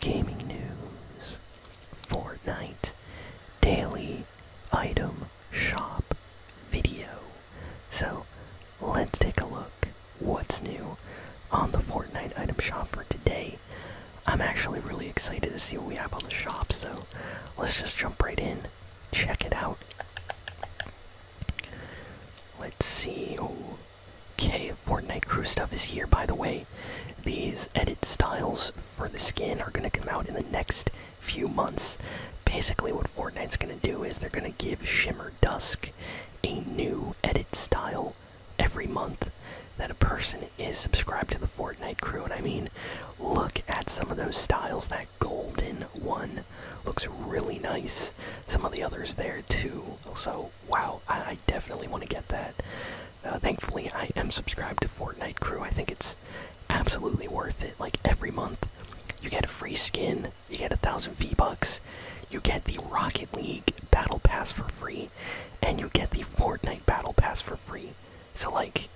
gaming news, Fortnite, daily item shop video. So let's take a look what's new on the Fortnite item shop for today. I'm actually really excited to see what we have on the shop, so let's just jump right in, check it out. Let's see. Oh, okay, Fortnite crew stuff is here, by the way. These edit styles for the skin are going to come out in the next few months. Basically, what Fortnite's going to do is they're going to give Shimmer Dusk a new edit style every month that a person is subscribed to the Fortnite crew. And I mean, look at some of those styles. That golden one looks really nice. Some of the others there too. So, wow, definitely want to get that. Uh, thankfully, I am subscribed to Fortnite Crew. I think it's absolutely worth it. Like every month, you get a free skin, you get a thousand V bucks, you get the Rocket League Battle Pass for free, and you get the Fortnite Battle Pass for free. So like,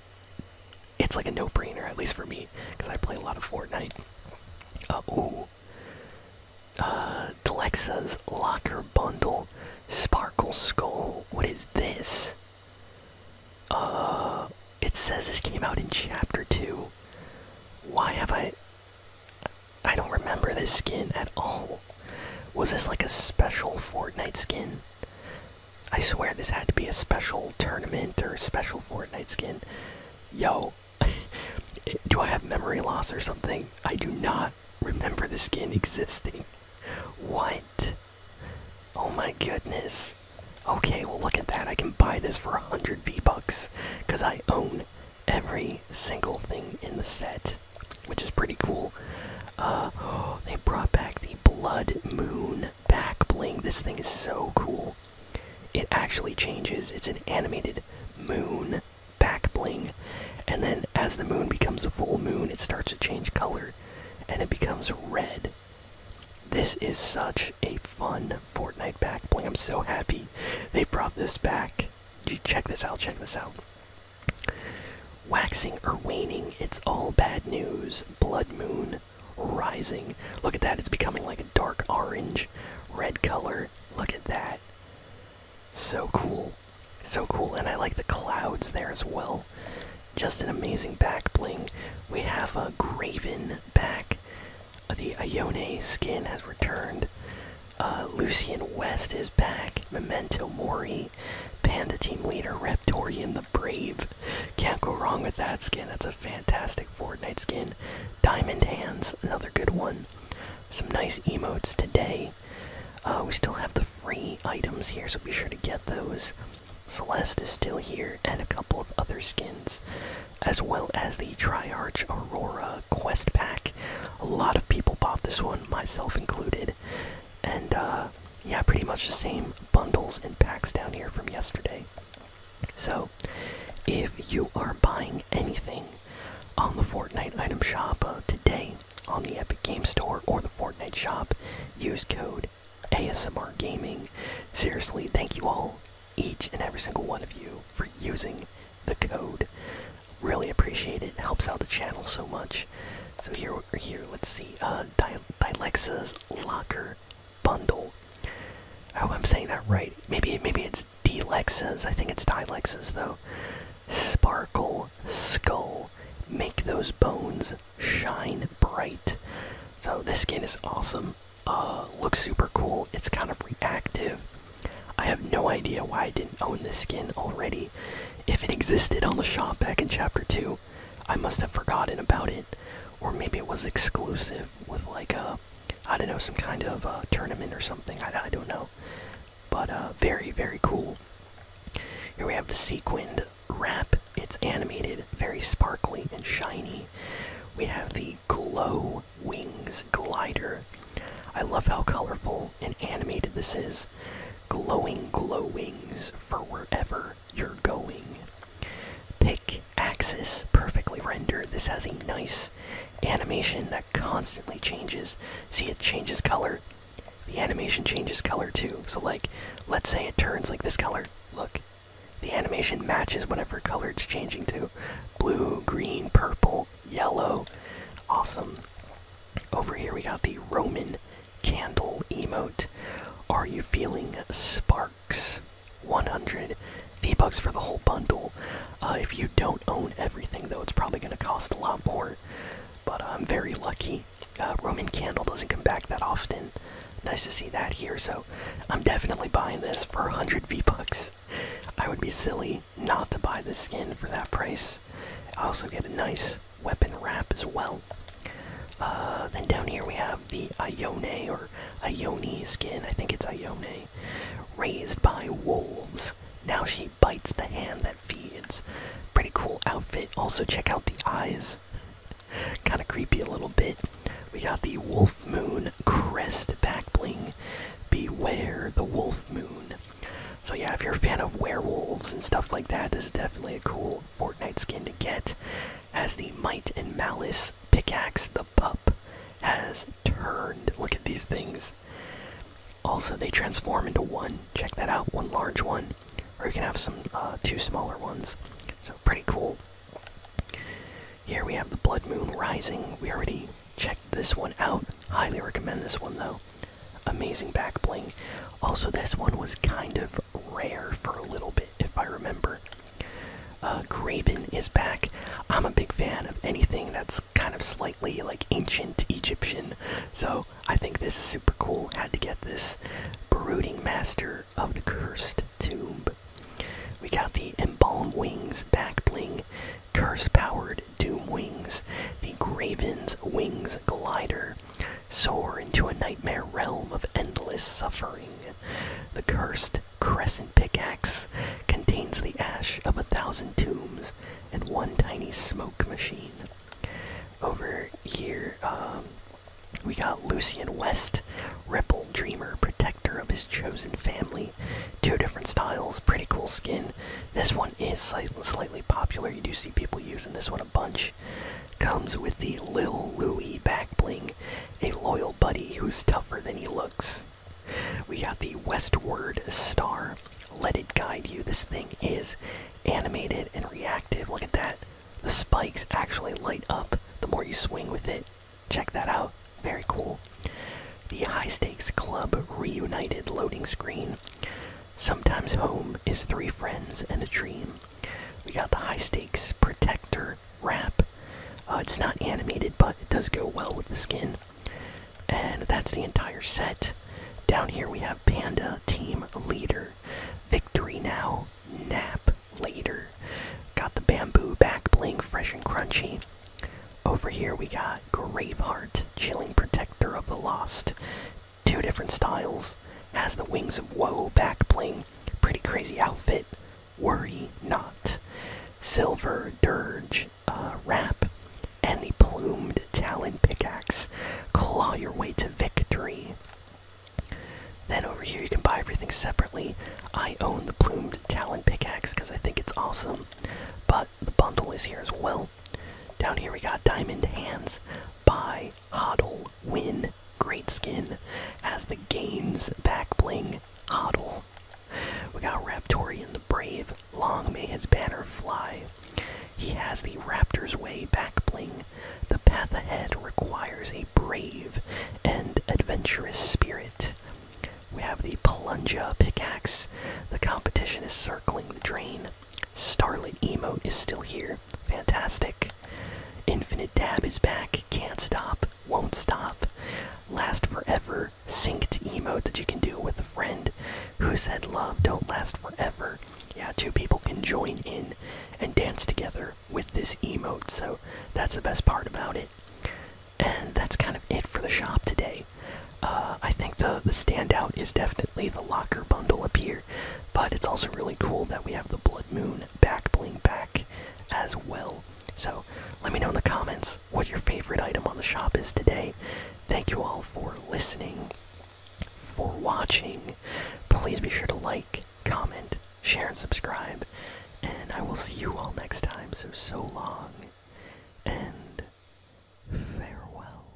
it's like a no-brainer at least for me because I play a lot of Fortnite. Uh, uh, Delexa's Locker Bundle, Sparkle Skull. What is this? Uh, it says this came out in Chapter 2. Why have I. I don't remember this skin at all. Was this like a special Fortnite skin? I swear this had to be a special tournament or a special Fortnite skin. Yo, do I have memory loss or something? I do not remember the skin existing. What? Oh my goodness. Okay, well, look at that. I can buy this for 100 V-Bucks because I own every single thing in the set, which is pretty cool. Uh, oh, they brought back the Blood Moon back bling. This thing is so cool. It actually changes. It's an animated moon back bling. And then as the moon becomes a full moon, it starts to change color and it becomes red. This is such a fun Fortnite back bling. I'm so happy they brought this back. Check this out, check this out. Waxing or waning, it's all bad news. Blood moon rising. Look at that, it's becoming like a dark orange, red color. Look at that. So cool. So cool. And I like the clouds there as well. Just an amazing back bling. We have a Graven back. Uh, the Ione skin has returned. Uh, Lucian West is back. Memento Mori. Panda Team Leader. Reptorian the Brave. Can't go wrong with that skin. That's a fantastic Fortnite skin. Diamond Hands. Another good one some nice emotes today. Uh, we still have the free items here, so be sure to get those. Celeste is still here, and a couple of other skins, as well as the Triarch Aurora quest pack. A lot of people bought this one, myself included. And uh, yeah, pretty much the same bundles and packs down here from yesterday. So, if you are buying anything on the Fortnite item shop uh, today on the Epic Game Store or the Fortnite shop, use code ASMR Gaming. Seriously, thank you all, each and every single one of you, for using the code. Really appreciate it. helps out the channel so much. So here, here, let's see. Uh, Di Dilexa's Locker Bundle. I I'm saying that right. Maybe, maybe it's it's I think it's Dilexes though. Sparkle Skull. Make those bones shine bright. So this skin is awesome. Uh, looks super cool. It's kind of reactive. I have no idea why I didn't own this skin already. If it existed on the shop back in Chapter 2, I must have forgotten about it. Or maybe it was exclusive with like a I don't know, some kind of uh, tournament or something. I, don't know. But uh, very, very cool. Here we have the sequined wrap. It's animated, very sparkly and shiny. We have the Glow Wings Glider. I love how colorful and animated this is. Glowing glow wings for wherever you're going. Pick axis perfectly rendered. This has a nice animation that constantly changes. See, it changes color. The animation changes color too. So, like, let's say it turns like this color. Look, the animation matches whatever color it's changing to blue, green, purple, yellow. Awesome. Over here, we got the Roman candle emote. Are you feeling sparks? 100 V-Bucks for the whole bundle. Uh, if you don't own everything, though, it's probably going to cost a lot more. But uh, I'm very lucky. Uh, Roman Candle doesn't come back that often. Nice to see that here, so I'm definitely buying this for 100 V-Bucks. I would be silly not to buy the skin for that price. I also get a nice weapon wrap as well. then down here we have the Ione or Ione skin. I think it's Ione. Raised by wolves. Now she bites the hand that feeds. Pretty cool outfit. Also, check out the eyes. kind of creepy a little bit. We got the Wolf Moon Crest back bling. Beware the Wolf Moon. So, yeah, if you're a fan of werewolves and stuff like that, this is definitely a cool Fortnite skin to get. Has the Might and Malice Pickaxe. the pup has turned. Look at these things. Also, they transform into one. Check that out. One large one. Or you can have some uh, two smaller ones. So, pretty cool. Here we have the Blood Moon Rising. We already checked this one out. Highly recommend this one, though. Amazing back bling. Also, this one was kind of rare for a little bit if I remember. Uh, Graven is back. I'm a big fan of anything that's kind of slightly like ancient Egyptian, so I think this is super cool. Had to get this. Brooding Master of the Cursed Tomb. We got the Embalm Wings back bling, Curse Powered Doom Wings, the Graven's Wings Glider. Soar into a nightmare realm of endless suffering. The Cursed crescent pickaxe contains the ash of a thousand tombs and one tiny smoke machine. Over here, um, we got Lucian West, Ripple Dreamer, protector of his chosen family. Two different styles, pretty cool skin. This one is slightly popular. You do see people using this one a bunch comes with the Lil Louie back bling, a loyal buddy who's tougher than he looks. We got the Westward Star. Let it guide you. This thing is animated and reactive. Look at that. The spikes actually light up the more you swing with it. Check that out. Very cool. The High Stakes Club Reunited loading screen. Sometimes home is three friends and a dream. We got the High Stakes Protector wrap. Uh, it's not animated, but it does go well with the skin. And that's the entire set. Down here we have Panda Team Leader. Victory now, nap later. Got the bamboo back bling, fresh and crunchy. Over here we got Graveheart, Chilling Protector of the Lost. Two different styles. Has the Wings of Woe back bling Pretty crazy outfit. Worry not. Silver dirge uh, wrap and the plumed talon pickaxe. Claw your way to victory. Then over here you can buy everything separately. I own the plumed talon pickaxe because I think it's awesome, but the bundle is here as well. Down here we got diamond hands. Buy, huddle, win. Great skin. Has the gains back bling. Hoddle. We got Raptorian the Brave. Long may his banner fly. He has the Raptor's Way back bling. The path ahead requires a brave and adventurous spirit. We have the Palunja pickaxe. The competition is circling the drain. Starlit emote is still here. Fantastic. Infinite dab is back. Can't stop. Won't stop. Last forever. Synced emote that you can do with a friend. Who said love don't last forever? Yeah, two people can join in and dance together with this emote. So that's the best part about it. And that's kind of it for the shop today. Uh, I think the the standout is definitely the locker bundle up here. But it's also really cool that we have the Blood Moon back bling back as well. So let me know in the comments what your favorite item on the shop is today. Thank you all for listening, for watching. Please be sure to like, comment, share, and subscribe. And I will see you all next time. So, so long and farewell.